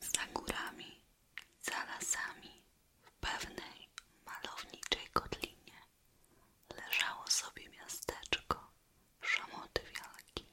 Za górami, za lasami, w pewnej malowniczej kotlinie leżało sobie miasteczko Szamoty Wielki.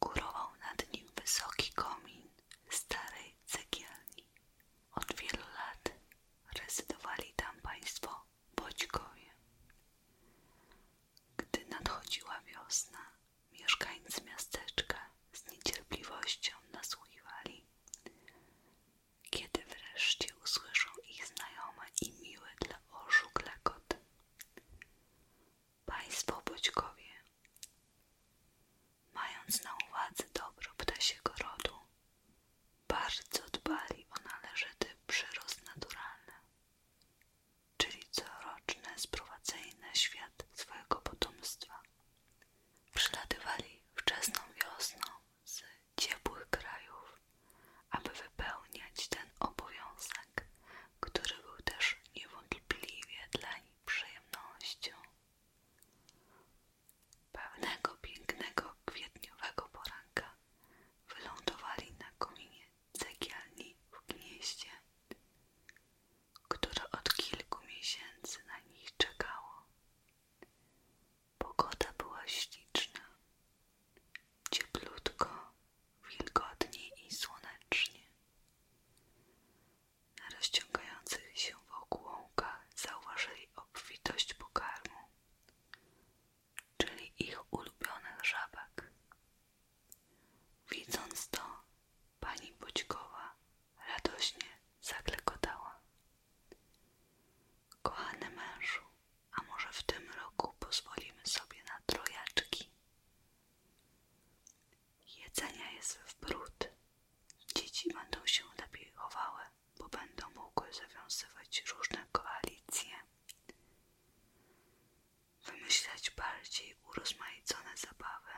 Górował nad nim wysoki komin starej cegielni. Od wielu lat rezydowali tam państwo Bodźkowie. Gdy nadchodziła wiosna, mieszkańcy miasteczka z niecierpliwością nasłuchiwali, kiedy wreszcie usłyszą ich znajome i miły dla oczu klekot. Państwo Boćkowie, mając na uwadze dobro ptasiego rodu, bardzo dbali o należyty przyrost naturalny, czyli coroczne sprowadzają na świat swojego potomstwa. Przylatywali wczesną wiosną z ciepłych krajów, aby wypełniać ten obowiązek, który był też niewątpliwie dla nich przyjemnością. Pewnego pięknego kwietniowego poranka wylądowali na kominie cegielni w gnieździe, które od kilku miesięcy na nich czekało. Pogoda była śliczna, cieplutko, wilgotnie i słonecznie. Na rozciągających się wokół łąkach zauważyli obfitość pokarmu, czyli ich ulubionych żabek. Widząc to, pani Budźkowa radośnie zaklekotała. Kochany mężu, a może w tym roku pozwolimy sobie na trojaczki? Jedzenia jest w bród. Dzieci będą się lepiej chowały, bo będą mogły zawiązywać różne koalicje wymyślać bardziej urozmaicone zabawy.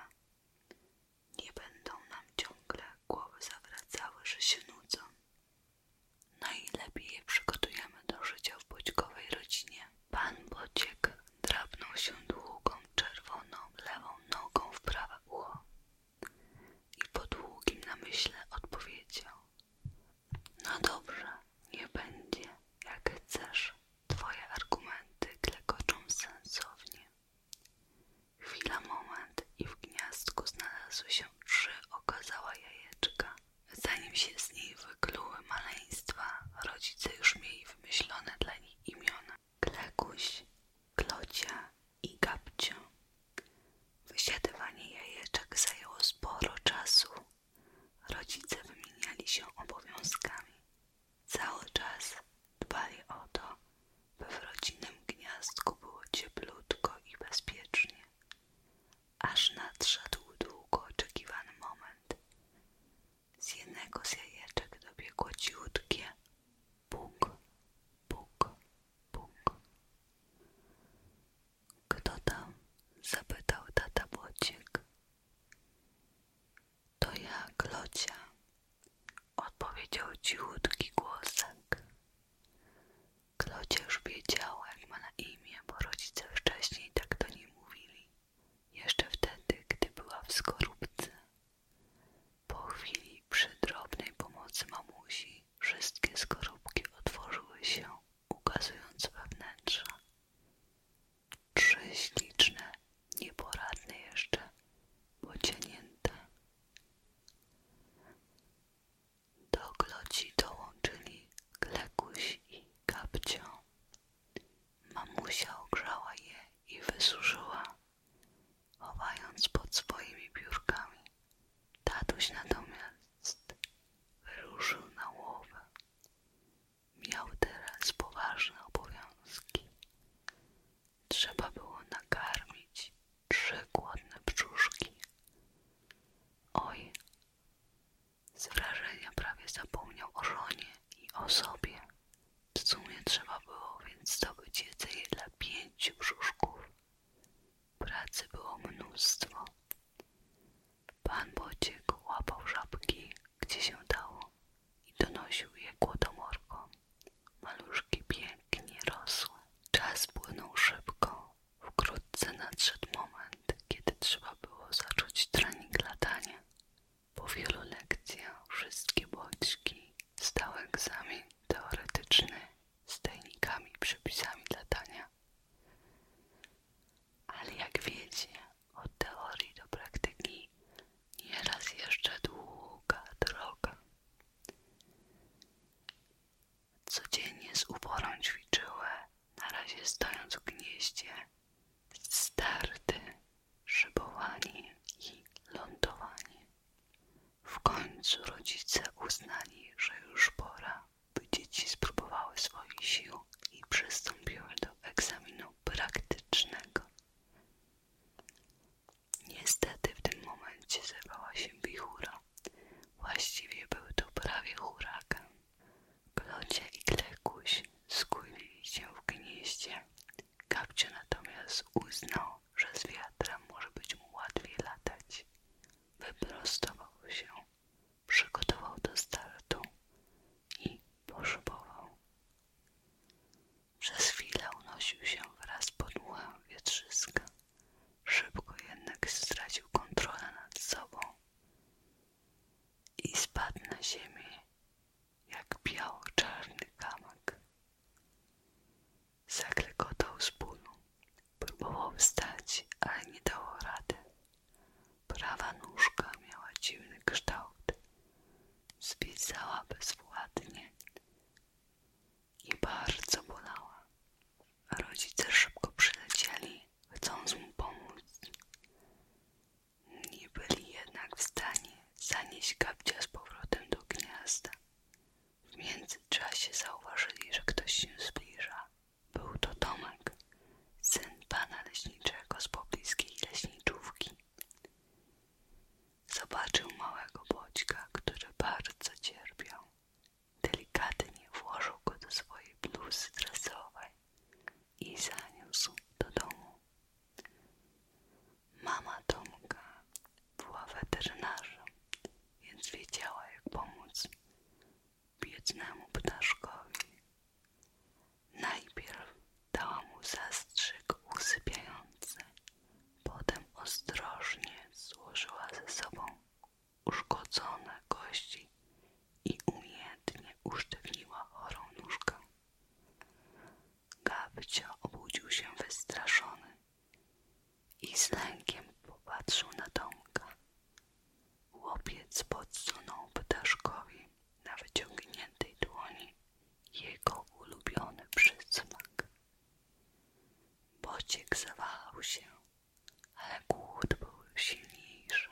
Nie będą nam ciągle głowy zawracały, że się nudzą. Najlepiej je przygotujemy do życia w boczkowej rodzinie. Pan Boczek drapnął się długą, czerwoną, lewą nogą w prawe ucho i po długim namyśle odpowiedział no dobrze, nie będzie, jak chcesz. Twoje argumenty klekoczą sensownie. Chwila, moment i w gniazdku znalazły się trzy okazała jajeczka. Zanim się z niej wykluły maleństwa, rodzice już mieli wymyślone dla nich imiona. Klekuś, Klocia i Gabcio. Wysiadywanie jajeczek zajęło sporo czasu, Rodzice wymieniali się obowiązkami. Cały czas dbali o to, by w rodzinnym gniazdku było cieplutko i bezpiecznie. Aż nadszedł długo oczekiwany moment. Z jednego z jajeczek dobiegło ciutkie. Buk, buk, buk. Kto tam? zapytał tata Błocik. To ja, Klocia, odpowiedział cichutki głosek. Klocia już wiedziała, jak ma na imię, bo rodzice wcześniej tak do niej mówili. Jeszcze wtedy, gdy była w skorupce. Po chwili przy drobnej pomocy mamusi wszystkie skorupki otworzyły się ukazując wewnętrze. Trzy śliczne, nieporadne jeszcze, pocienięte. Do kloci dołączyli Klekuś i Kapcio. Mamusia ogrzała je i wysuszyła, chowając pod swoimi biurkami Tatuś natomiast wyruszył na łowę. Miał teraz poważne obowiązki. Trzeba było nakarmić trzy głodne brzuszki. Oj, z wrażenia prawie zapomniał o żonie i o sobie. W sumie trzeba było więc zdobyć jedzenie dla pięciu brzuszków. Pracy było mnóstwo. Pan Bociek łapał żabki, gdzie się dało i donosił je głodomorką. Maluszki pięknie rosły. Czas płynął szybko. Wkrótce nadszedł moment, kiedy trzeba było zacząć trening latania. Po wielu lekcjach wszystkie boczki stały egzamin teoretyczny z tajnikami i przepisami latania. Ale jak wiecie, od teorii do praktyki nieraz jeszcze długa droga. Codziennie z uporą ćwiczyły, na razie stojąc w gnieździe, starty, szybowanie i lądowanie. W końcu rodzice uznali, że już pora by dzieci spróbowały swojej siły i przystąpiły do egzaminu praktycznego. Niestety w tym momencie zerwała się wichura. Właściwie był to prawie huragan. Klocie i Klekuś skłonili się w gnieździe. Kapcio natomiast uznał, że z wiatrem może być mu łatwiej latać wyprostował się, przygotował do startu i poszubował. Przez chwilę unosił się wraz pod muchem wietrzyska, szybko jednak stracił kontrolę nad sobą i spadł na ziemię jak biało-czarny kamak. Zaklegotał z bólu. Próbował wstać, ale nie dał rady. Prawa nóżka miała dziwny kształt. Zwisała bezwładnie i bardzo bolała. Rodzice szybko przylecieli, chcąc mu pomóc. Nie byli jednak w stanie zanieść kapcia z powrotem do gniazda. W międzyczasie zauważyli, że ktoś się zbliża. Był to Tomek, syn pana leśniczego z pobliskiej leśniczówki. Zobaczył małego bodźka, który bardzo cierpiał. Delikatnie włożył go do swojej bluzy dresowej i zaniósł do domu. Mama Tomka była weterynarzem, więc wiedziała jak pomóc biednemu ptaszkowi. Najpierw dała mu zastrzyk usypiający, potem ostrożnie złożyła ze sobą uszkodzone kości i umiejętnie usztywniła chorą nóżkę. Gabcia obudził się wystraszony i z lękiem popatrzył na Tomka. Łopiec podsunął ptaszkowi na wyciągniętej dłoni jego ulubiony przysmak. Bociek zawahał się, ale głód był silniejszy.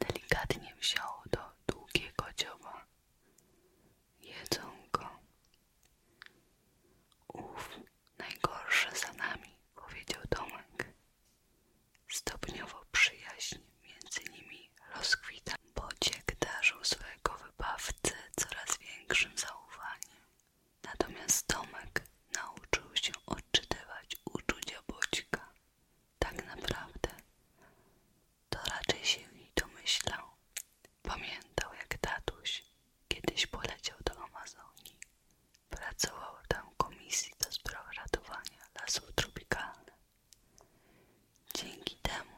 Delikatnie wziął do długiego dzioba jedzą go. Ów najgorsze za nami, powiedział Tomek. Stopniowo przyjaźń między nimi rozkwita. Bociek darzył swojego wybawcę coraz większym zaufaniem. Natomiast Tomek nauczył się odczytywać uczucia Bocika. Tak naprawdę to raczej się jej domyślał, Pamiętał, jak tatuś kiedyś poleciał do Amazonii. Pracował tam w komisji do spraw ratowania lasów tropikalnych. Dzięki temu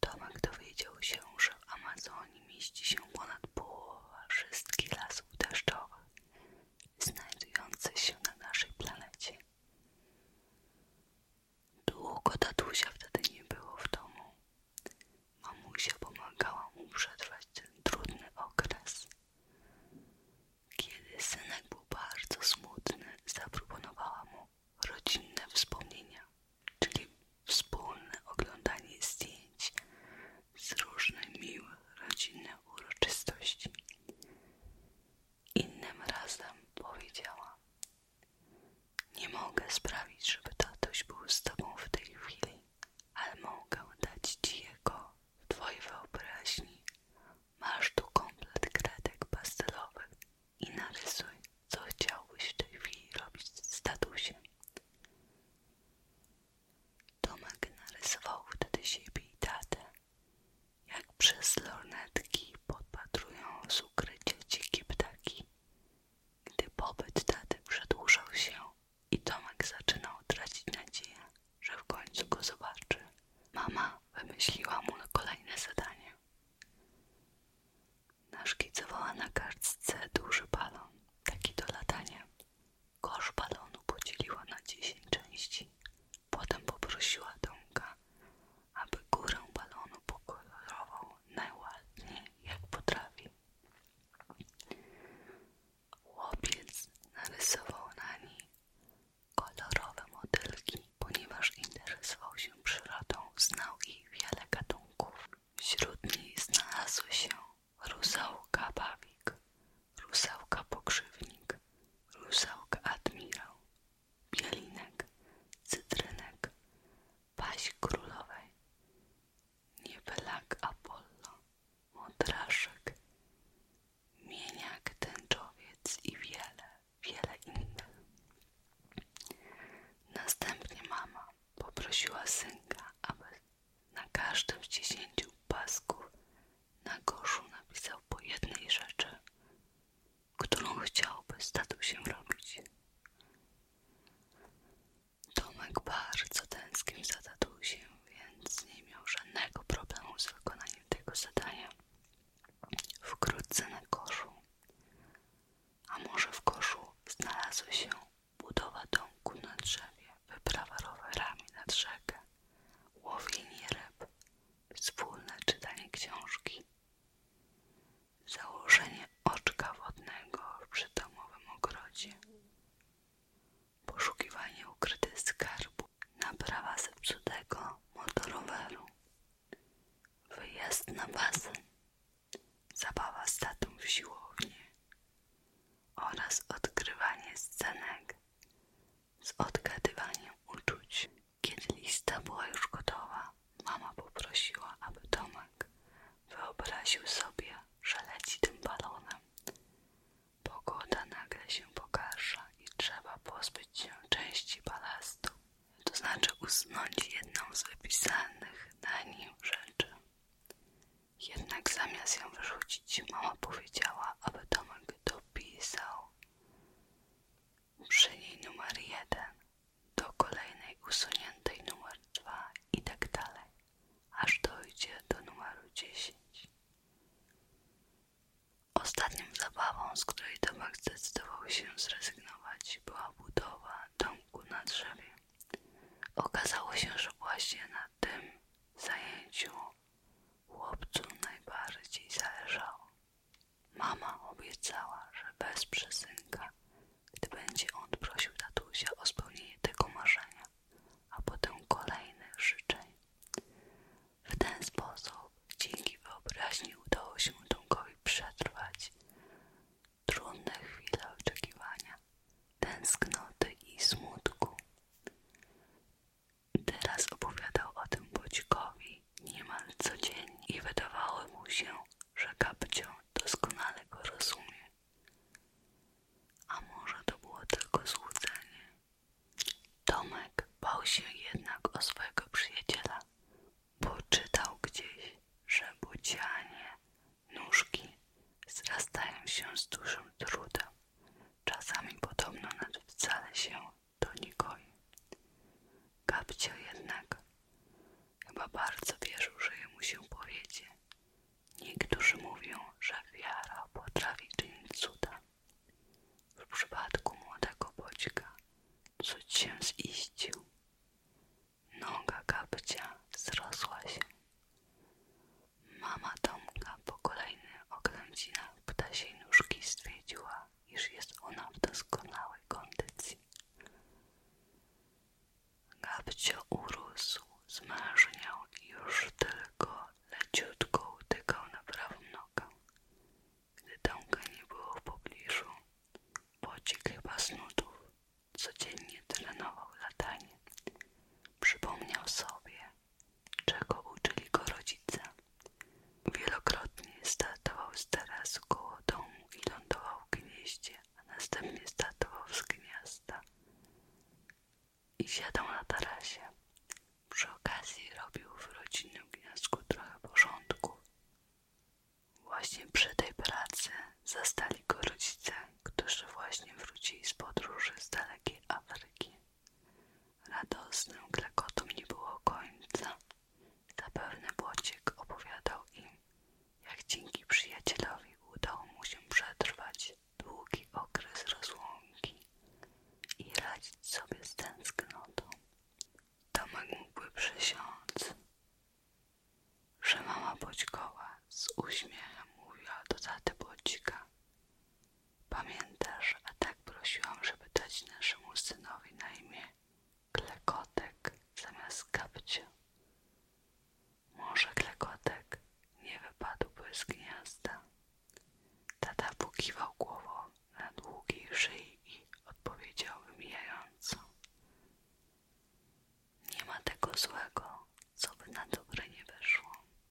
Tomek dowiedział się, że w Amazonii mieści się ponad połowa wszystkich lasów deszczowych znajdujących się na naszej planecie. Długo tatusia wtedy nie było w domu. Mamusia pomagała mu przetrwać ten trudny okres. Kiedy synek był bardzo smutny, zaproponowała mu rodzinne wspomnienia, czyli wspólne oglądanie zdjęć z różnych miłych rodzinnych uroczystości. Innym razem powiedziała, nie mogę sprawić, żeby tatuś był z tobą w tej chwili, ale mogę dać ci jego w twojej wyobraźni. Masz tu komplet kredek pastelowych i narysuj, co chciałbyś w tej chwili robić z tatusiem. Tomek narysował wtedy siebie i tatę, jak przez lornetki podpatrują z ukrycia dzikie ptaki gdy pobyt taty przedłużał się i Tomek zaczynał tracić nadzieję, że w końcu go zobaczy, mama wymyśliła mu kolejne zadanie. Naszkicowała na kartce duży balon, taki do latania. Kosz balonu podzieliła na dziesięć części. Potem poprosiła Tomka, aby górę balonu pokolorował najładniej jak potrafi. Chłopiec narysował na niej kolorowe motylki, ponieważ interesował się przyrodą, znał jej wiele gatunków. Wśród niej znalazły się rusałka bawik, rusałka pokrzywnik, rusałka admirał, bielinek, cytrynek, paś królowej, niebylak Apollo, modraszek, mieniak tęczowiec i wiele, wiele innych. Następnie mama poprosiła synka, aby na każdym z dziesięciu pasków na koszu napisał po jednej rzeczy, którą chciałby z się robić. Tomek bardzo tęsknił za tatusiem, więc nie miał żadnego problemu z wykonaniem tego zadania. Wkrótce na koszu, a może w koszu znalazły się budowa domku na drzewie, wyprawa rowerami nad rzekę, łowienie ryb, wspólne czytanie książki, Założenie oczka wodnego w przydomowym ogrodzie. Poszukiwanie ukrytych skarbu, Naprawa zepsutego motoroweru. Wyjazd na basen. Zabawa statą w siłowni. Oraz odgrywanie scenek z odgadywaniem uczuć. Kiedy lista była już gotowa, mama poprosiła, aby Tomek wyobraził sobie, że leci tym balonem. Pogoda nagle się pogarsza i trzeba pozbyć się części balastu, to znaczy usunąć jedną z wypisanych na nim rzeczy. Jednak zamiast ją wyrzucić, mama powiedziała, aby Tomek dopisał przy numer jeden, do kolejnej usuniętej numer dwa i tak dalej, aż dojdzie do numeru dziesięć. Ostatnią zabawą, z której Tomek zdecydował się zrezygnować, była budowa domku na drzewie. Okazało się, że właśnie na tym zajęciu chłopcu najbardziej zależało. Mama obiecała, że bez synka, gdy będzie on prosił tatusia o spełnienie tego marzenia, a potem kolejnych życzeń. W ten sposób dzięki wyobraźni udało się Dunkowi przetrwać trudne chwile oczekiwania, tęsknoty i smutku. Teraz opowiadał o tym Bodzikowi niemal co dzień i wydawało mu się, że Kapcio doskonale go rozumie. A może to było tylko złudzenie? Tomek bał się jednak o swojego przyjaciela, bo czytał gdzieś, że bucianie, nóżki zrastają się z dużym trudem, czasami podobno nawet wcale się do Nikoi. Gabcio jednak chyba bardzo wierzył, że jemu się powiedzie. Niektórzy mówią, że wiara potrafi czynić cuda. W przypadku młodego bodźka cud się ziścił. Noga kapcia wzrosła się. Mama Tomka po kolejny oględzinach ptasiej nóżki stwierdziła, iż jest ona w doskonałej kondycji. Gabcio urósł, zmarzniał i już tylko leciutko utykał na prawą nogę. Gdy Tomka nie było w pobliżu, pocik chyba z nudów codziennie trenował latanie. Przypomniał sobie, czego uczyli go rodzice. Wielokrotnie startował z tarasu koło domu i lądował w gnieździe, a następnie startował z gniazda i siadał na tarasie. Przy okazji robił w rodzinnym gniazdku trochę porządku. Właśnie przy tej pracy zastali go rodzice, którzy właśnie wrócili z podróży z dalekiej Afryki. Radosnym klekotom nie było końca. Zapewne Błociek opowiadał im, jak dzięki przyjacielowi udało mu się przetrwać długi okres rozłąki i radzić sobie z tęsknotą. Tomek mógłby przysiąc, że mama Boćkoła z uśmiechem mówiła do taty Błocika, Pamiętasz, a tak prosiłam, żeby dać naszemu synowi na imię klekotek zamiast kapcia. Może klekotek nie wypadłby z gniazda. Tata pokiwał głową na długiej szyi i odpowiedział wymijająco. Nie ma tego złego, co by na dobre nie wyszło.